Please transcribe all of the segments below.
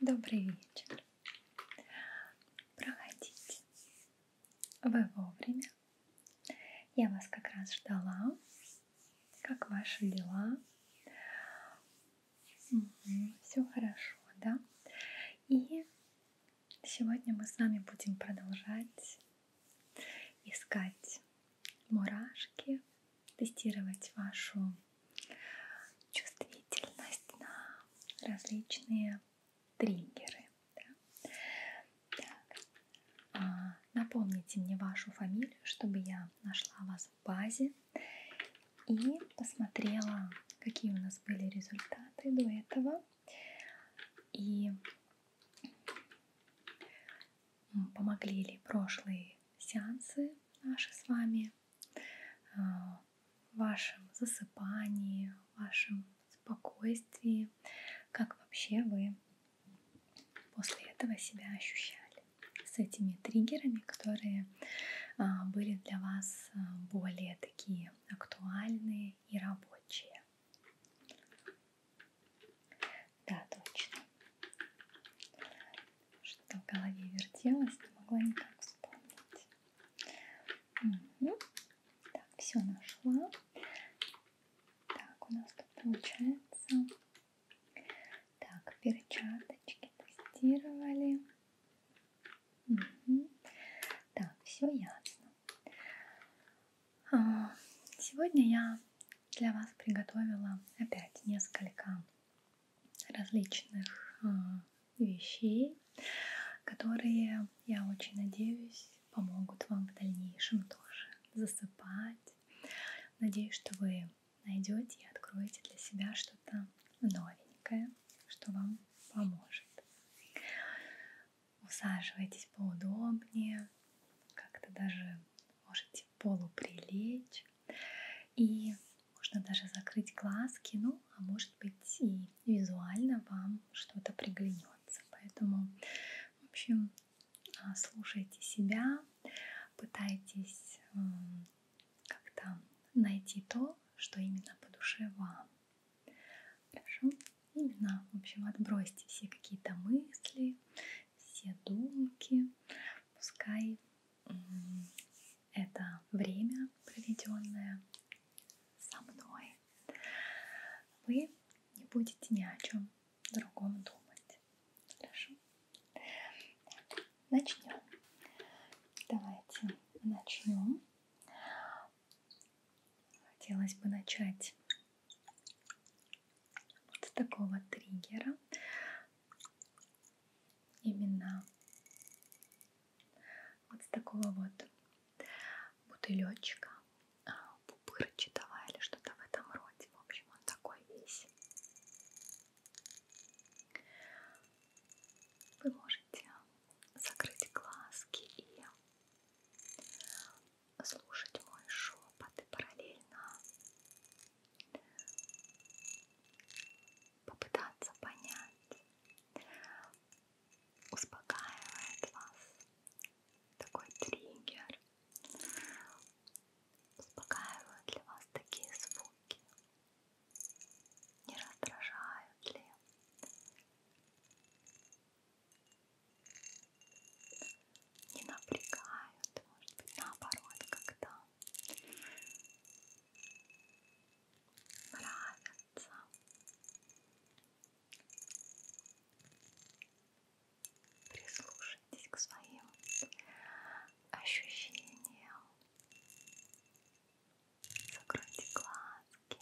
Добрый вечер. Проходите. Вы вовремя. Я вас как раз ждала. Как ваши дела? Угу, все хорошо, да? И сегодня мы с вами будем продолжать искать мурашки тестировать вашу чувствительность на различные триггеры. Да? Так. А, напомните мне вашу фамилию, чтобы я нашла вас в базе и посмотрела, какие у нас были результаты до этого. И Э, помогли ли прошлые сеансы наши с вами э, в вашем засыпании, в вашем спокойствии, как вообще вы после этого себя ощущали с этими триггерами, которые а, были для вас э, более такие актуальные и рабочие. Да, точно. Что в голове вертелось, не могла никак вспомнить. Угу. Так, все нашла. Так, у нас тут получается. Так, перчаточки тестировали. Угу. Так, все ясно. А, сегодня я для вас приготовила опять несколько различных а, вещей, которые, я очень надеюсь, помогут вам в дальнейшем тоже засыпать. Надеюсь, что вы найдете и откроете для себя что-то новенькое, что вам поможет. Усаживайтесь поудобнее, как-то даже можете полуприлечь. И можно даже закрыть глазки, ну, а может быть и визуально вам что-то приглянется. Поэтому, в общем, а, слушайте себя, пытайтесь как-то найти то, что именно по душе вам. Хорошо? Именно, в общем, отбросьте все какие-то мысли, все думки, пускай это время, проведенное со мной, вы не будете ни о чем другом думать. Хорошо? Начнем. Давайте начнем. Хотелось бы начать вот с такого триггера именно вот с такого вот бутылечка пупырчи давай или что-то в этом роде в общем он такой весь вы можете закрыть глазки и слушать мой шепот и параллельно попытаться понять, успокаивает вас такой триггер, успокаивают ли вас такие звуки, не раздражают ли не напрягают, может быть, наоборот, когда нравятся. Прислушайтесь к своим ощущениям. Закройте глазки.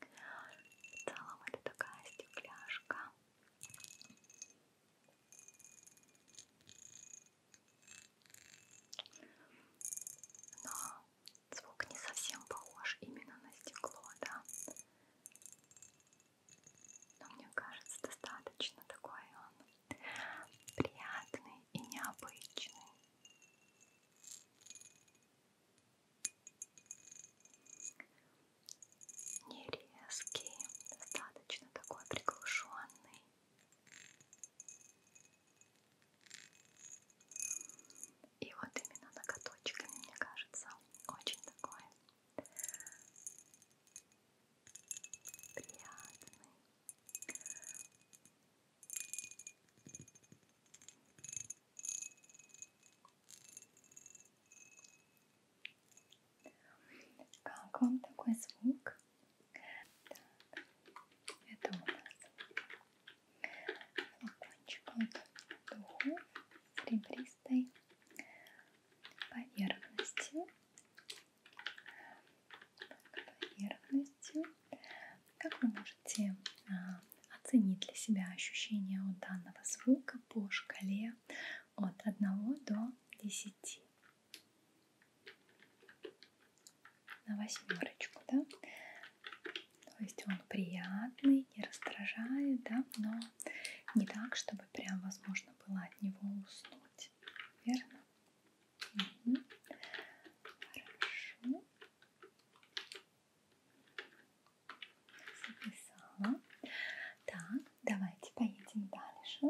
В целом это такая стекляшка. Но звук не совсем похож именно на стекло, да. Но мне кажется, достаточно такой он приятный и необычный не резкий, достаточно такой приглушенный. И вот именно ноготочками, мне кажется, очень такой приятный как вам такой звук? Так, это у нас флакончик от духов с ребристой поверхностью. Так, поверхность полностью. Как вы можете а, оценить для себя ощущение от данного звука по шкале от 1 до 10? На восьмерочку, да? То есть он приятный, не раздражает, да, но не так, чтобы прям возможно было от него уснуть. Верно? Угу. Хорошо. Записала. Так, давайте поедем дальше.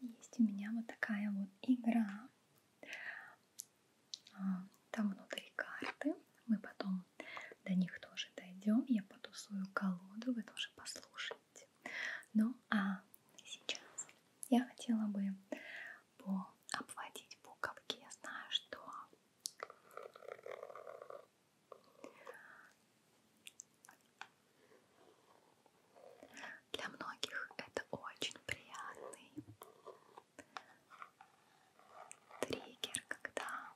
Есть у меня вот такая вот игра. А, там внутри карты. Мы потом до них тоже дойдем. Я потусую колоду, вы тоже послушайте делать. Ну а сейчас я хотела бы обводить буковки. Я знаю, что для многих это очень приятный триггер, когда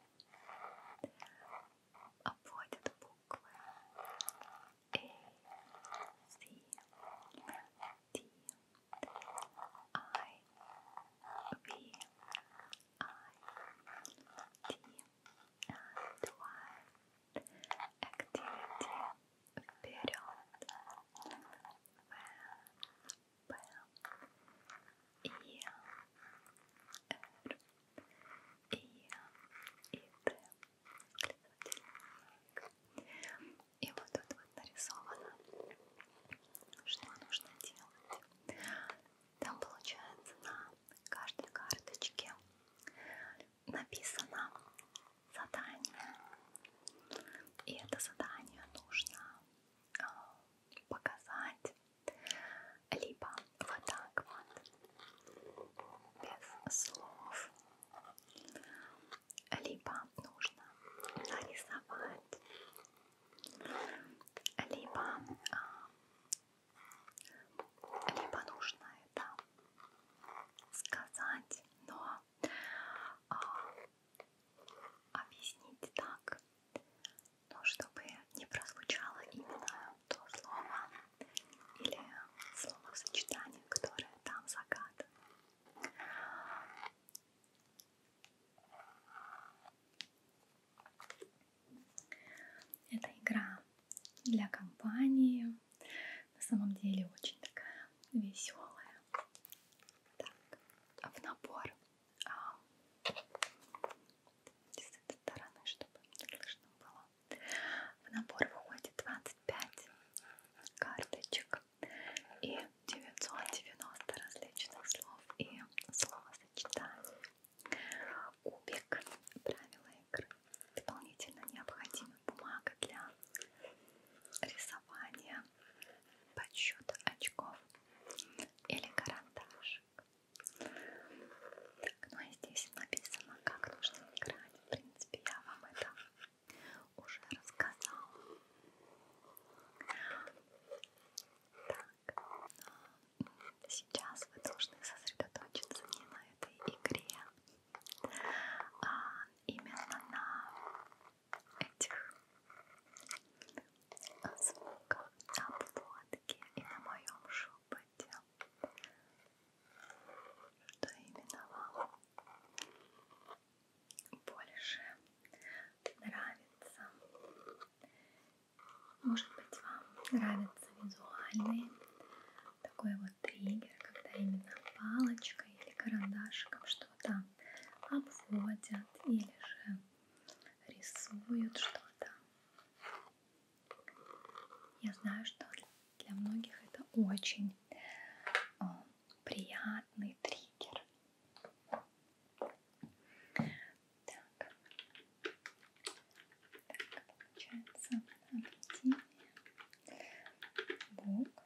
avoid the book A, C, D, I, V, I, D, activity period where и, и Т. И вот тут вот нарисовано, что нужно делать. Там получается на каждой карточке написано задание. И это задание нужно а, показать либо вот так вот. Без слов. Либо нужно нарисовать, либо, а, либо нужно это сказать, но а, объяснить так, но чтобы не прозвучало именно то слово или словосочетание, которое там загадано. Это игра для компании, на самом деле очень такая веселая. Так, а в набор а, с этой стороны, чтобы слышно было. В набор входит 25 карточек и 990 различных слов и словосочетаний. Кубик, правила игры. Дополнительно необходима бумага для рисования, подсчета очков или карандаш игрушек. Так, ну а здесь написано, как нужно играть. В принципе, я вам это уже рассказала. Так, а, сейчас вы должны сосредоточиться не на этой игре, а именно на этих звуках, на плотке и на моем шуме опыте, что именно вам больше нравится. Может быть, вам нравится визуальный такой вот триггер, когда именно палочкой или карандашиком что-то обводят или же рисуют что-то. Я знаю, что для многих это очень э, приятный триггер. Так, так получается объединение букв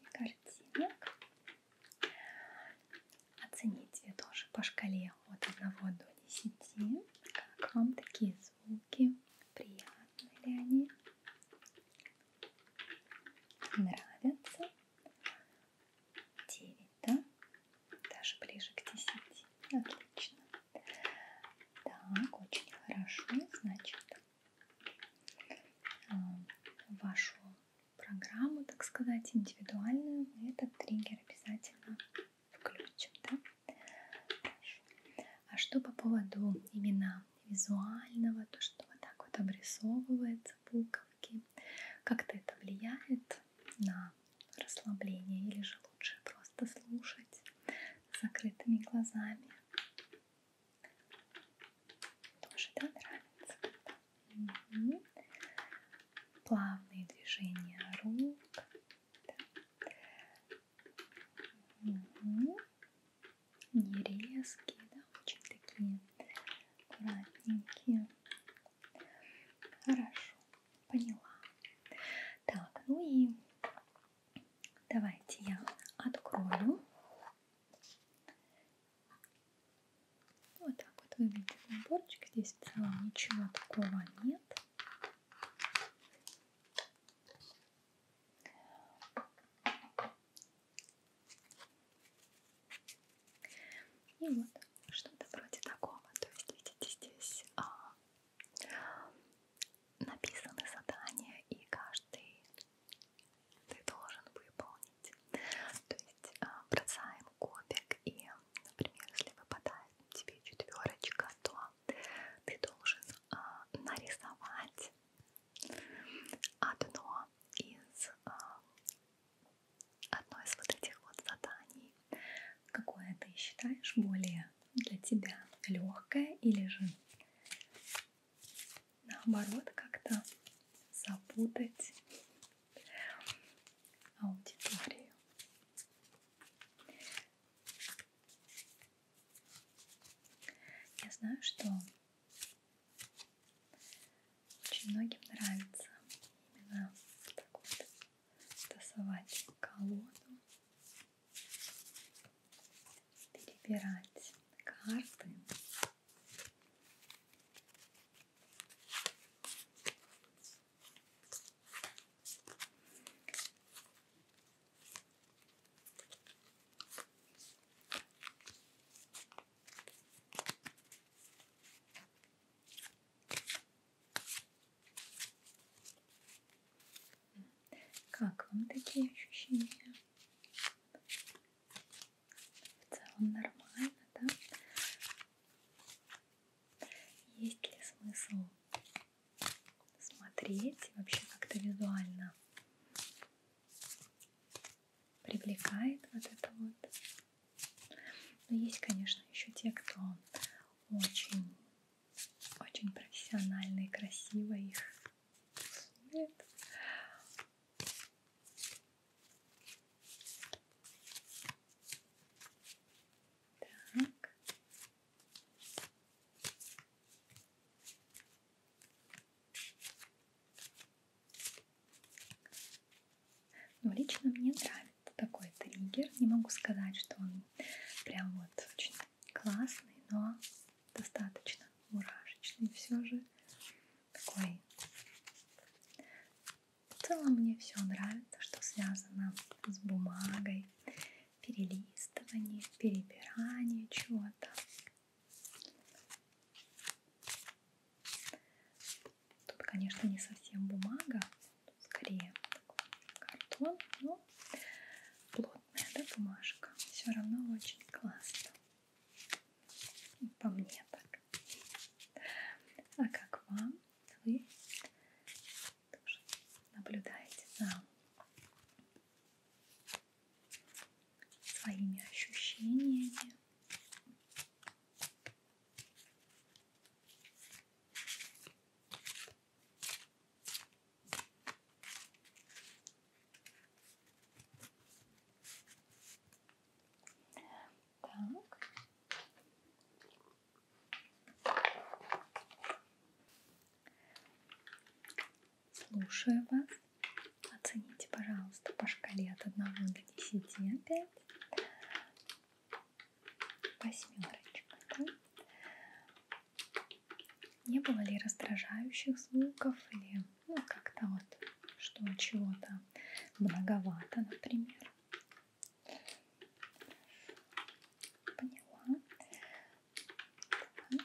и картинок. Оцените тоже по шкале от 1 до 10, как вам такие звуки звуки, приятны ли они, нравятся. 9, да? Даже ближе к 10. Отлично. Так, очень хорошо. Значит, а, вашу программу, так сказать, индивидуальную, мы этот триггер обязательно включим, да? Хорошо. А что по поводу именно визуального, то, что вот так вот обрисовывается буковки, как-то это влияет на расслабление или же лучше просто слушать с закрытыми глазами? Тоже, да, нравится? Угу. Плавные движения рук, да. Угу. Не резкие, да, очень такие аккуратненькие. Хорошо, поняла. Так, ну и давайте я открою. Вот так вот выглядит наборчик. Здесь в целом ничего такого нет. И вот что-то вроде такого. То есть, видите, здесь а, написаны задания, и каждый ты должен выполнить. То есть а, бросаем кубик, и, например, если выпадает тебе четверочка, то ты должен а, нарисовать одно из а, одно из вот этих вот заданий, какое ты считаешь более для тебя легкое или же наоборот как-то запутать аудиторию. Я знаю, что очень многим нравится именно так вот тасовать колоду, перебирать карты. Как вам такие ощущения? В целом нормально, да? Есть ли смысл смотреть вообще как-то визуально? Привлекает вот это вот. Но ну, есть, конечно, еще те, кто очень, очень профессионально и красиво их рисует. Так. Ну, лично мне нравится такой триггер. Не могу сказать, что он прям вот очень классный, но достаточно мурашечный все же. Такой в целом мне все нравится, что связано с бумагой, перелистывание, перебирание чего-то. Тут, конечно, не совсем бумага, скорее картон, но плотная да, бумажка. Все равно очень классно. По мне так. А как вам? Вы тоже наблюдаете за своими ощущениями. Так. Слушаю вас. Оцените, пожалуйста, по шкале от 1 до 10 опять. Восьмерочка. Да? Не было ли раздражающих звуков или ну, как-то вот что чего-то многовато, например. Хорошо. Поняла. Так.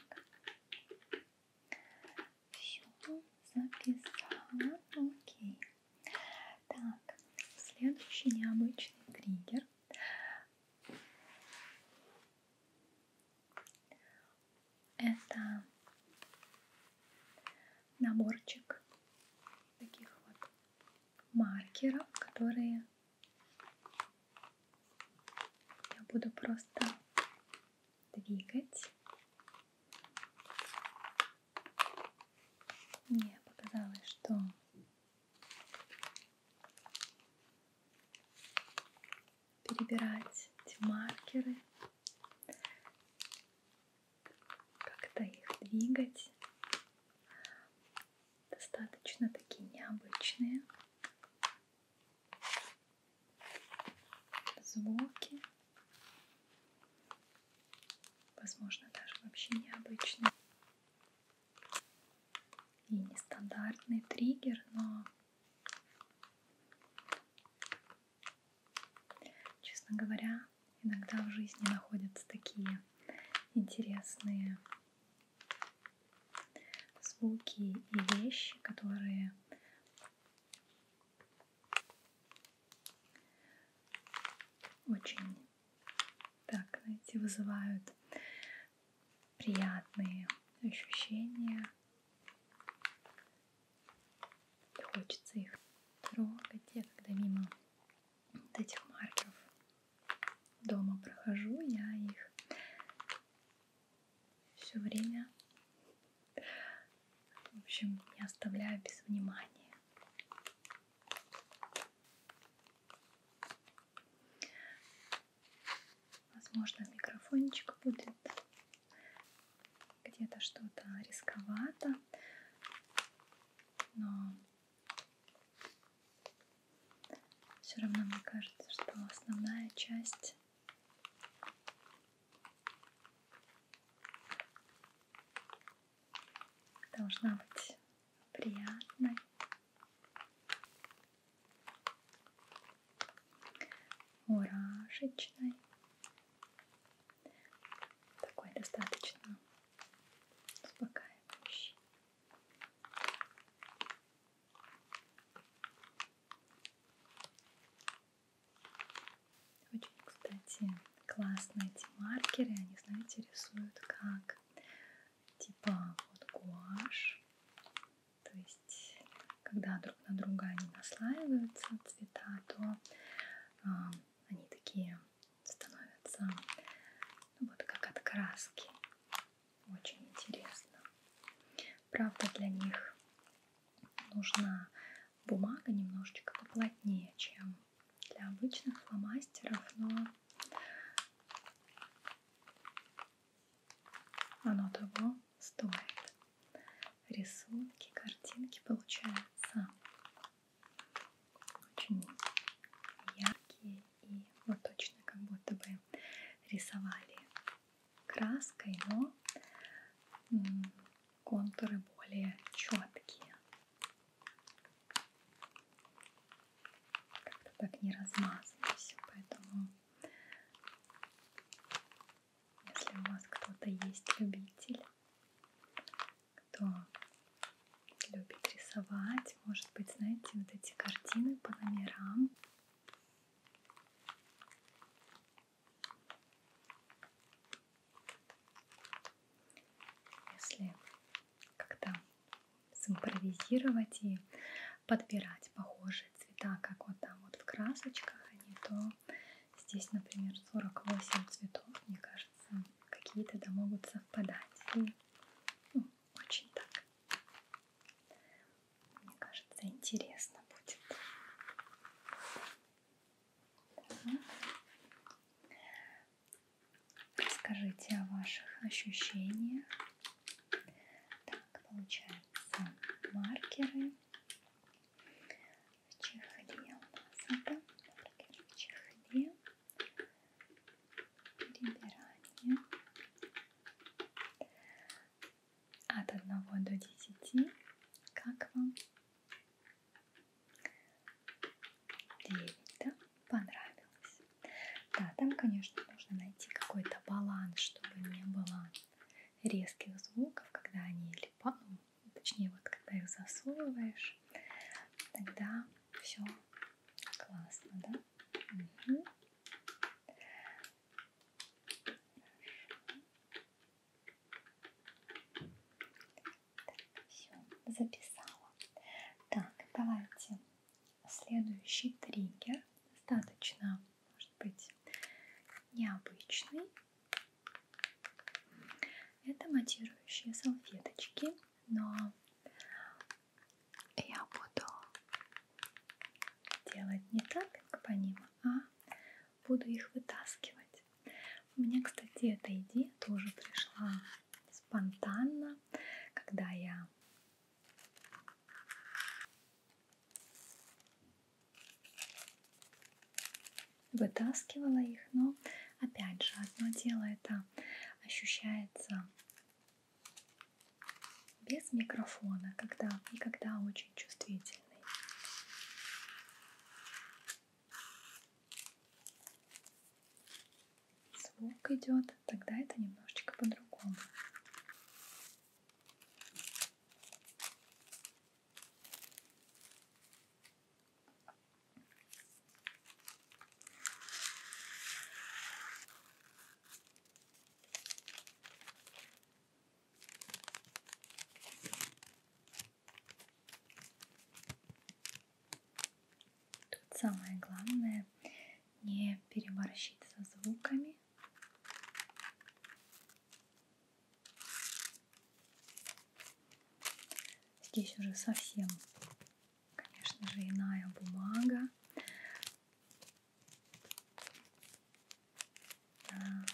Все, записала. Окей. Так, следующий необычный триггер. Это наборчик таких вот маркеров, которые я буду просто двигать. Мне показалось, что перебирать эти маркеры как-то их двигать. Достаточно такие необычные звуки. Возможно, даже вообще необычные. И нестандартный триггер, но честно говоря, иногда в жизни находятся такие интересные звуки и вещи, которые очень так, знаете, вызывают приятные ощущения. Хочется их трогать. Я когда мимо вот этих маркеров дома прохожу, я их все время, в общем, не оставляю без внимания. Возможно, микрофончик будет где-то что-то рисковато, но все равно мне кажется, что основная часть должна быть приятной. Мурашечной такой достаточно успокаивающий. Очень, кстати, классные эти маркеры. Они, знаете, рисуют как типа вот гуашь. То есть, когда друг на друга они наслаиваются, цвета, то э, они такие становятся ну, вот как от краски. Очень интересно. Правда, для них нужна бумага немножечко поплотнее, чем для обычных фломастеров, но оно того стоит. Рисунки, картинки получаются очень яркие и вот точно как будто бы рисовали краской, но контуры более четкие. Как-то так не размазано все, поэтому если у вас кто-то есть любитель кто любит рисовать, может быть, знаете, вот эти картины по номерам. Если как-то симпровизировать и подбирать похожие цвета, как вот там вот в красочках они, то здесь, например, 48 цветов, мне кажется, какие-то да могут совпадать. И, ну, очень так. Мне кажется, интересно будет. Так. Расскажите о ваших ощущениях. Так, получается маркеры чехле назад, в чехле, перебирание от 1 до 10, как вам? 9, да? Понравилось. Да, там, конечно, нужно найти какой-то баланс, чтобы не было резких звуков, когда они либо, ну, точнее вот когда их засовываешь, тогда все классно, да? Угу. Так, все, записала. Так, давайте следующий триггер. Достаточно, может быть, необычный. Это матирующие салфеточки, но я буду делать не таппинг по ним, а буду их вытаскивать. У меня, кстати, эта идея тоже пришла спонтанно, когда я вытаскивала их, но опять же, одно дело это ощущается без микрофона, когда и когда очень чувствительный. Звук идет, тогда это немножечко по-другому. Тут самое главное не переборщить со звуками. Здесь уже совсем, конечно же, иная бумага. Она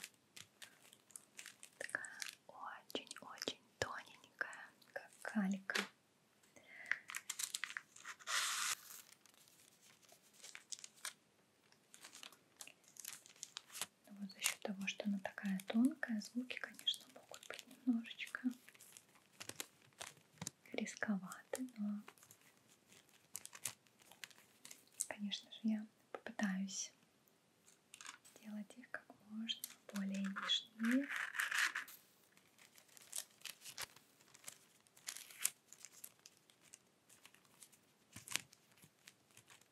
такая очень-очень тоненькая, как калька. Вот за счет того, что она такая тонкая, звуки, конечно, могут быть немножечко рисковаты, но, конечно же, я попытаюсь делать их как можно более нежнее.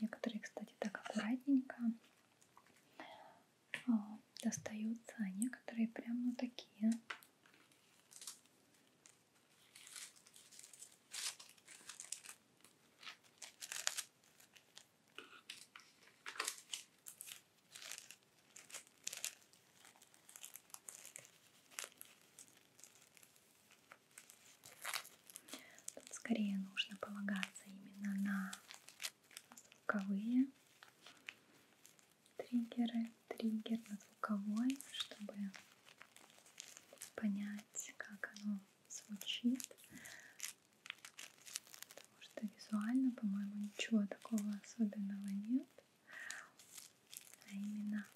Некоторые, кстати, так аккуратненько а, достаются, а некоторые прям ну такие. Тут скорее нужно полагаться именно на звуковые триггеры, триггер на звуковой, чтобы понять, как оно звучит потому что визуально, по-моему, ничего такого особенного нет. А именно,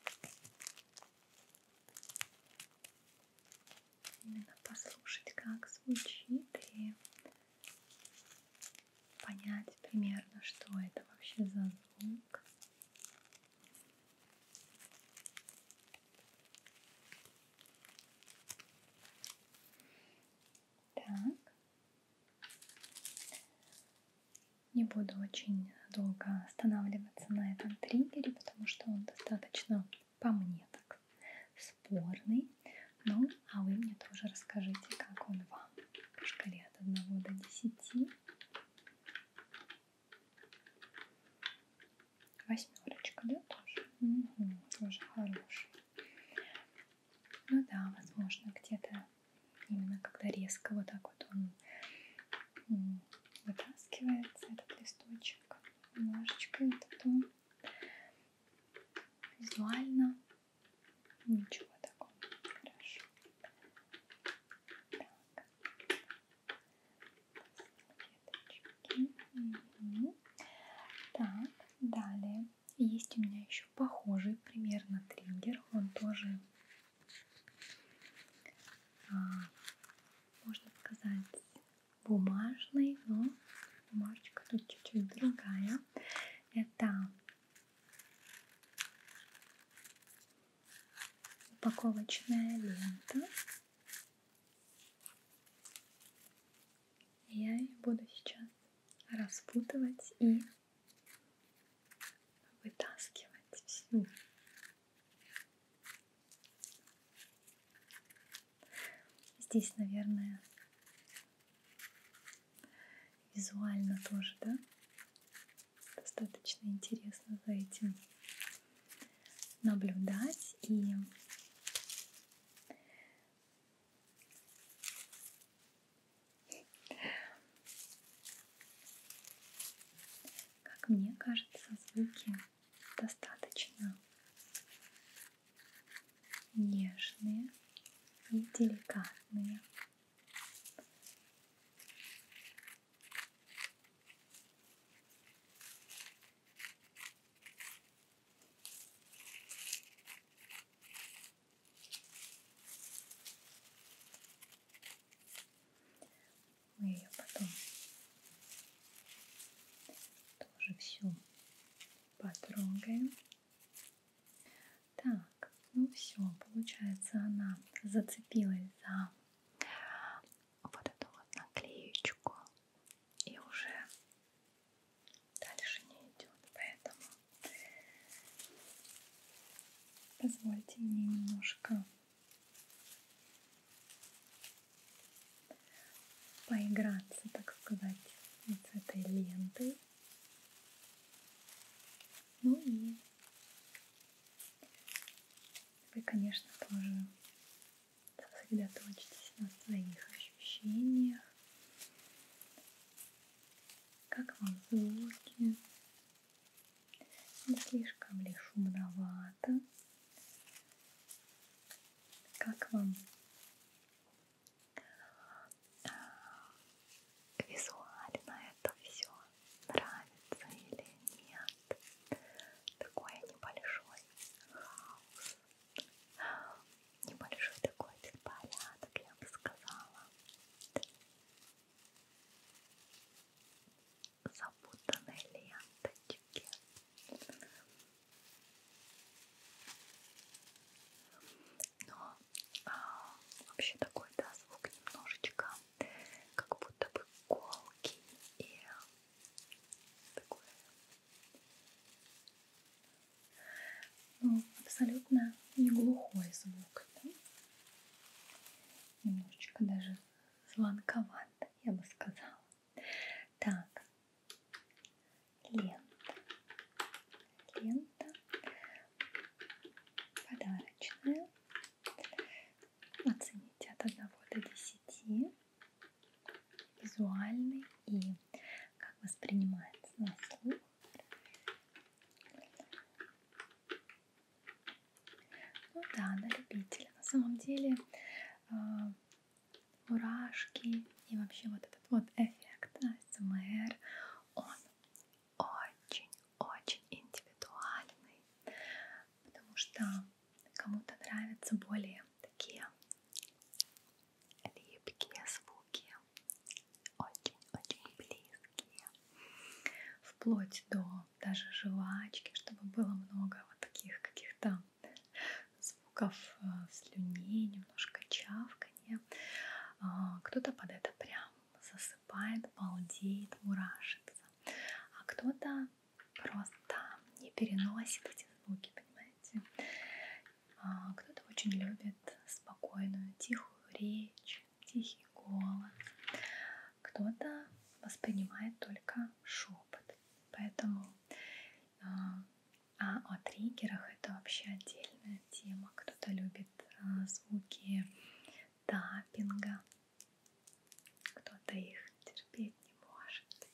именно послушать, как звучит и понять примерно, что это вообще за звук. Так. Не буду очень долго останавливаться на этом триггере, потому что он достаточно, по мне так, спорный. Ну, а вы мне тоже расскажите, как он вам по шкале от 1 до 10. Восьмерочка, да, тоже? Угу, тоже хороший. Ну да, возможно, где-то именно когда резко вот так вот он вытаскивается, этот листочек немножечко, и потом визуально ничего такого. Хорошо. Так. Угу. так, далее есть у меня еще похожий примерно триггер. Он тоже, а, можно сказать, бумажный, но бумажечка тут чуть-чуть другая. Это упаковочная лента. Я ее буду сейчас распутывать и вытаскивать всю. Здесь, наверное, визуально тоже, да? Достаточно интересно за этим наблюдать и как мне кажется, звуки достаточно нежные и деликатные. Мы ее потом тоже всю потрогаем. Так, ну все, получается, она зацепилась за вот эту вот наклеечку и уже дальше не идет. Поэтому позвольте мне немножко поиграться, так сказать, вот с этой лентой. Ну и вы, конечно, тоже сосредоточьтесь на своих ощущениях. Как вам звуки? Не слишком ли шумновато? Как вам визуально это все нравится или нет? Такой небольшой хаос. Небольшой такой порядок, я бы сказала. Запутанные ленточки. Но а, вообще такой, да, звук немножечко как будто бы колкий и такой но ну, абсолютно не глухой звук. Да? Немножечко даже звонковато, я бы сказала. Так, лента. Лента подарочная. Оцените от 1 до 10 визуальный и как воспринимается на слух. Ну да, на любителя. На самом деле э, мурашки и вообще вот этот вот эффект АСМР, он очень-очень индивидуальный, потому что кому-то нравятся более такие липкие звуки, очень-очень близкие, вплоть до даже жвачки, чтобы было много вот таких каких-то звуков э, слюни, немножко чавканья. А, кто-то под это прям засыпает, балдеет, мурашится, а кто-то просто не переносит эти звуки, понимаете? А, кто-то очень любит спокойную, тихую речь, тихий голос. Кто-то воспринимает только шепот. Поэтому а, а о триггерах это вообще отдельная тема. Кто-то любит а, звуки тапинга, кто-то их терпеть не может,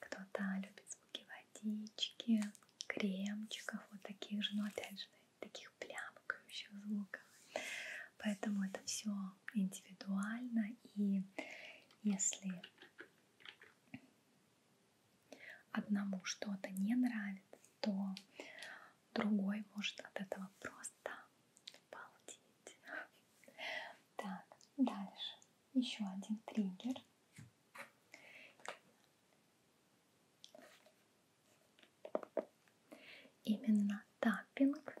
кто-то любит звуки водички, кремчиков, вот таких же, но ну, опять же, таких плямкающих звуков. Поэтому это все индивидуально, и если одному что-то не нравится, то другой может от этого просто обалдеть. Так, дальше. Еще один триггер. Именно таппинг.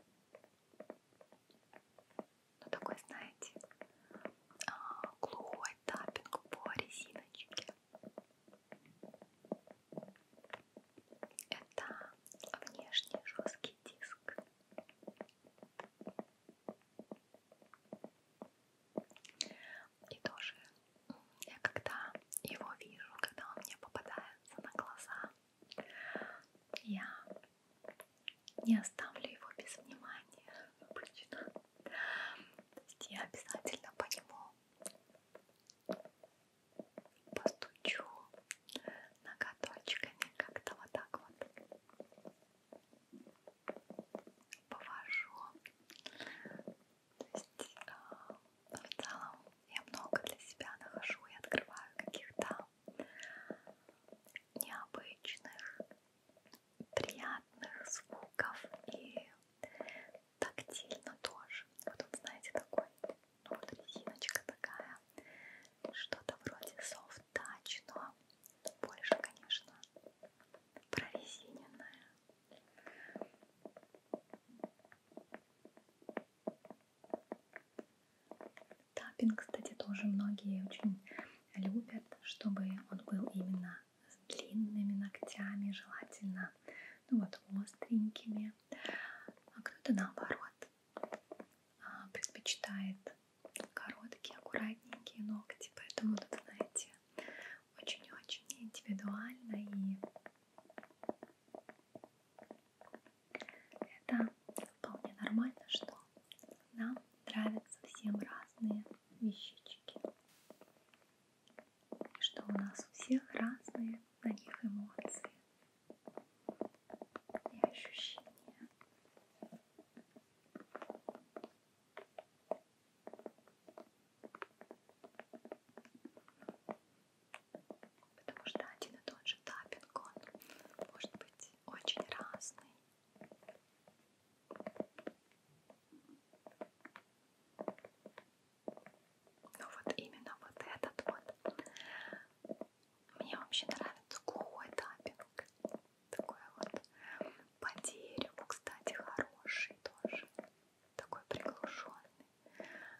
Ну такой, знаете, а, глухой таппинг по резиночке. Это внешний жесткий диск. И тоже я когда его вижу, когда он мне попадается на глаза, я не оставлю его без внимания обычно. То есть я обязательно по нему постучу ноготочками как-то вот так вот повожу. То есть э, в целом я много для себя нахожу и открываю каких-то необычных, приятных звуков и тактильно тоже. Вот он, знаете, такой, ну вот резиночка такая, что-то вроде soft touch, но больше, конечно, прорезиненная. Таппинг, кстати, тоже многие очень любят, чтобы он был именно с длинными ногтями, желательно, ну вот, остренькими. А кто-то наоборот а, предпочитает короткие, аккуратненькие ногти, поэтому тут, знаете, очень-очень индивидуально и это вполне нормально, что нам нравятся всем разные вещички. И что у нас у всех разные на них эмоции и ощущения. Потому что один и тот же таппинг, он может быть очень разный. Но ну вот именно вот этот вот. Мне вообще нравится глухой таппинг такое вот по дереву, кстати, хороший тоже, такой приглушенный.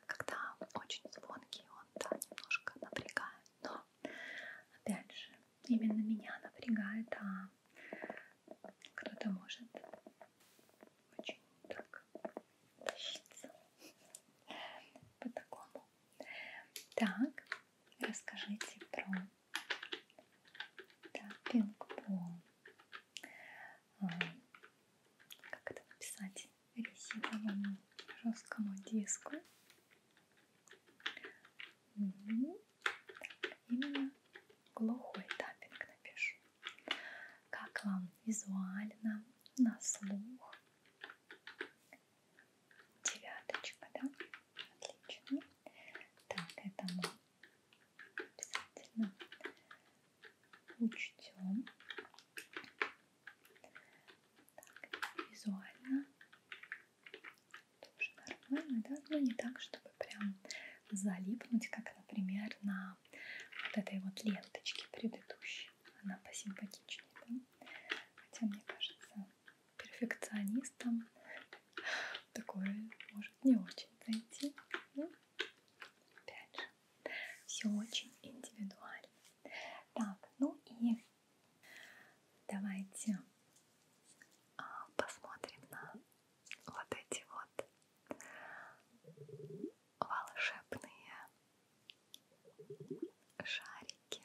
Когда очень звонкий, он да, немножко напрягает, но опять же, именно меня напрягает, а кто-то может очень так тащиться по такому. Так, расскажите про таппинг-пол. А, как это написать? Резиновому жесткому диску. Так, именно глухой таппинг напишу. Как вам визуально, на слух? девяточка, да? Отлично. Так, это мы обязательно учтем. Так, визуально тоже нормально, да? Но ну, не так, чтобы прям залипнуть, как, например, на вот этой вот ленточке предыдущей. Она посимпатичнее, да? Хотя, мне кажется, перфекционистом такое может не очень зайти. Ну, опять же, все очень индивидуально. Так, ну и давайте а, посмотрим на вот эти вот волшебные шарики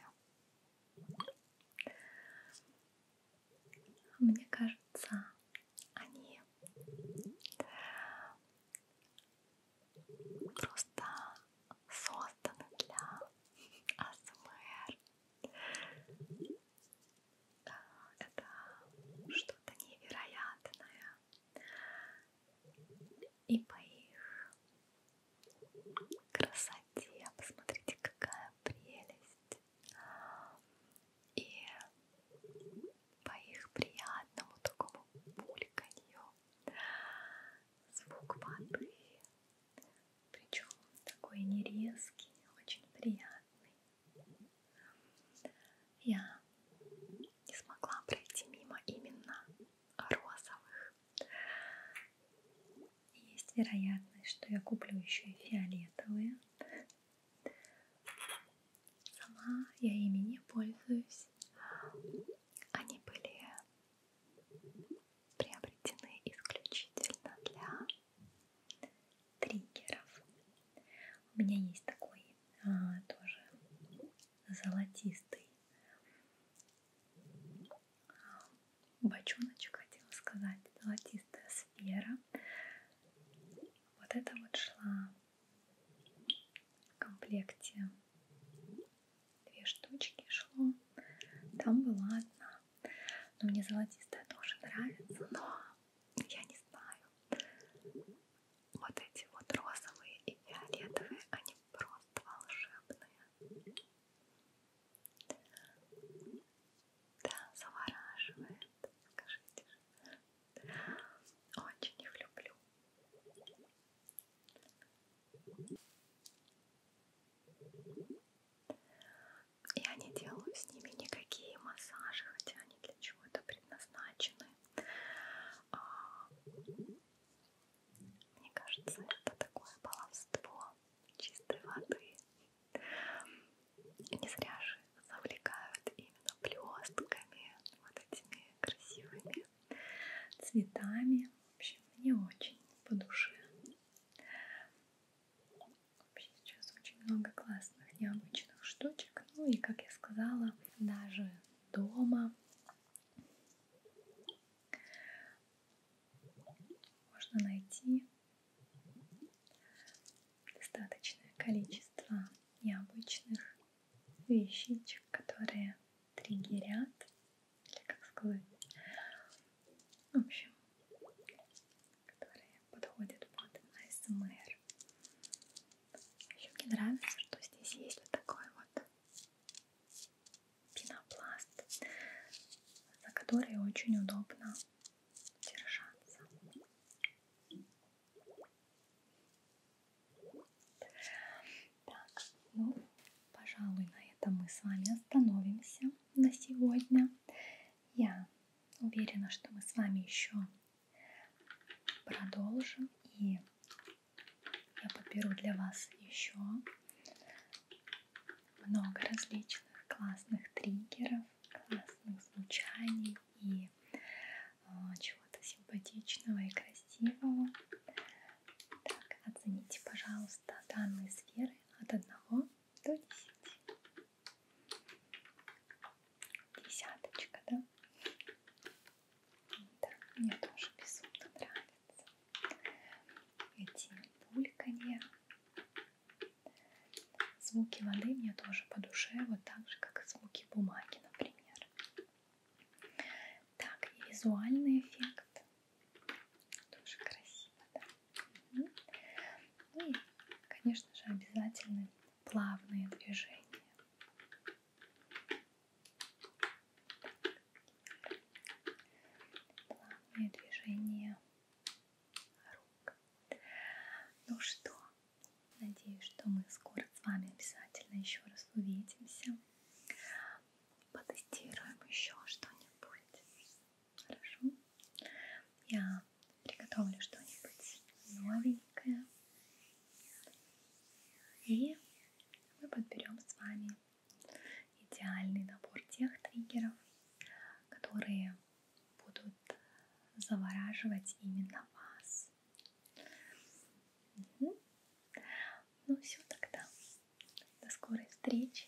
мне кажется, они просто созданы для АСМР. Это что-то невероятное. И по их красоте. Посмотрите, какая прелесть. И по их приятному такому бульканью звук воды, причем такой нерезкий, очень приятный. Я не смогла пройти мимо именно розовых. Есть вероятность, что я куплю еще и фиолетовые. Сама я ими не пользуюсь. Они были приобретены исключительно для триггеров. У меня есть такой а, тоже золотистый бочоночек, хотела сказать, золотистая сфера. Вот это вот шла в комплекте две штучки шло, там была одна. Но мне золотистая тоже нравится, но я не знаю. Вот эти вот розовые и фиолетовые, они просто волшебные. Да, завораживает, скажите же. Очень их люблю. Я не делаю с ними никакие массажи, хотя они для чего-то предназначены. А, мне кажется, это такое баловство чистой воды. Не зря же завлекают именно блестками, вот этими красивыми цветами. В общем, мне очень по душе. Вообще сейчас очень много классных, необычных штучек. Ну и, как я сказала, даже дома можно найти достаточное количество необычных вещичек, которые триггерят, или как сказать, в общем, которые подходят под АСМР. Еще мне нравится, что здесь есть вот такой вот пенопласт, за который очень удобно держаться. Так, ну, пожалуй, на этом мы с вами остановимся на сегодня. Я уверена, что мы с вами еще продолжим и я подберу для вас еще много различных классных триггеров, классных звучаний и э, чего-то симпатичного и красивого. Так, оцените, пожалуйста, данные сферы от 1 до 10. Десяточка, да? Да, мне тоже безумно нравится эти бульканья. Звуки воды мне тоже по душе, вот так же, как и звуки бумаги, например. Так, и визуальный эффект. Тоже красиво, да? Угу. Ну и, конечно же, обязательно плавные движения. Так плавные движения рук. Ну что, надеюсь, что мы скоро с вами обязательно еще раз увидимся. Потестируем еще что-нибудь. Хорошо? Я приготовлю что-нибудь новенькое. И мы подберем с вами идеальный набор тех триггеров, которые будут завораживать именно вас. Угу. Ну все тогда. До скорой встречи.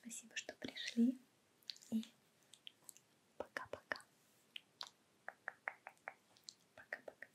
Спасибо, что пришли. И пока-пока. Пока-пока.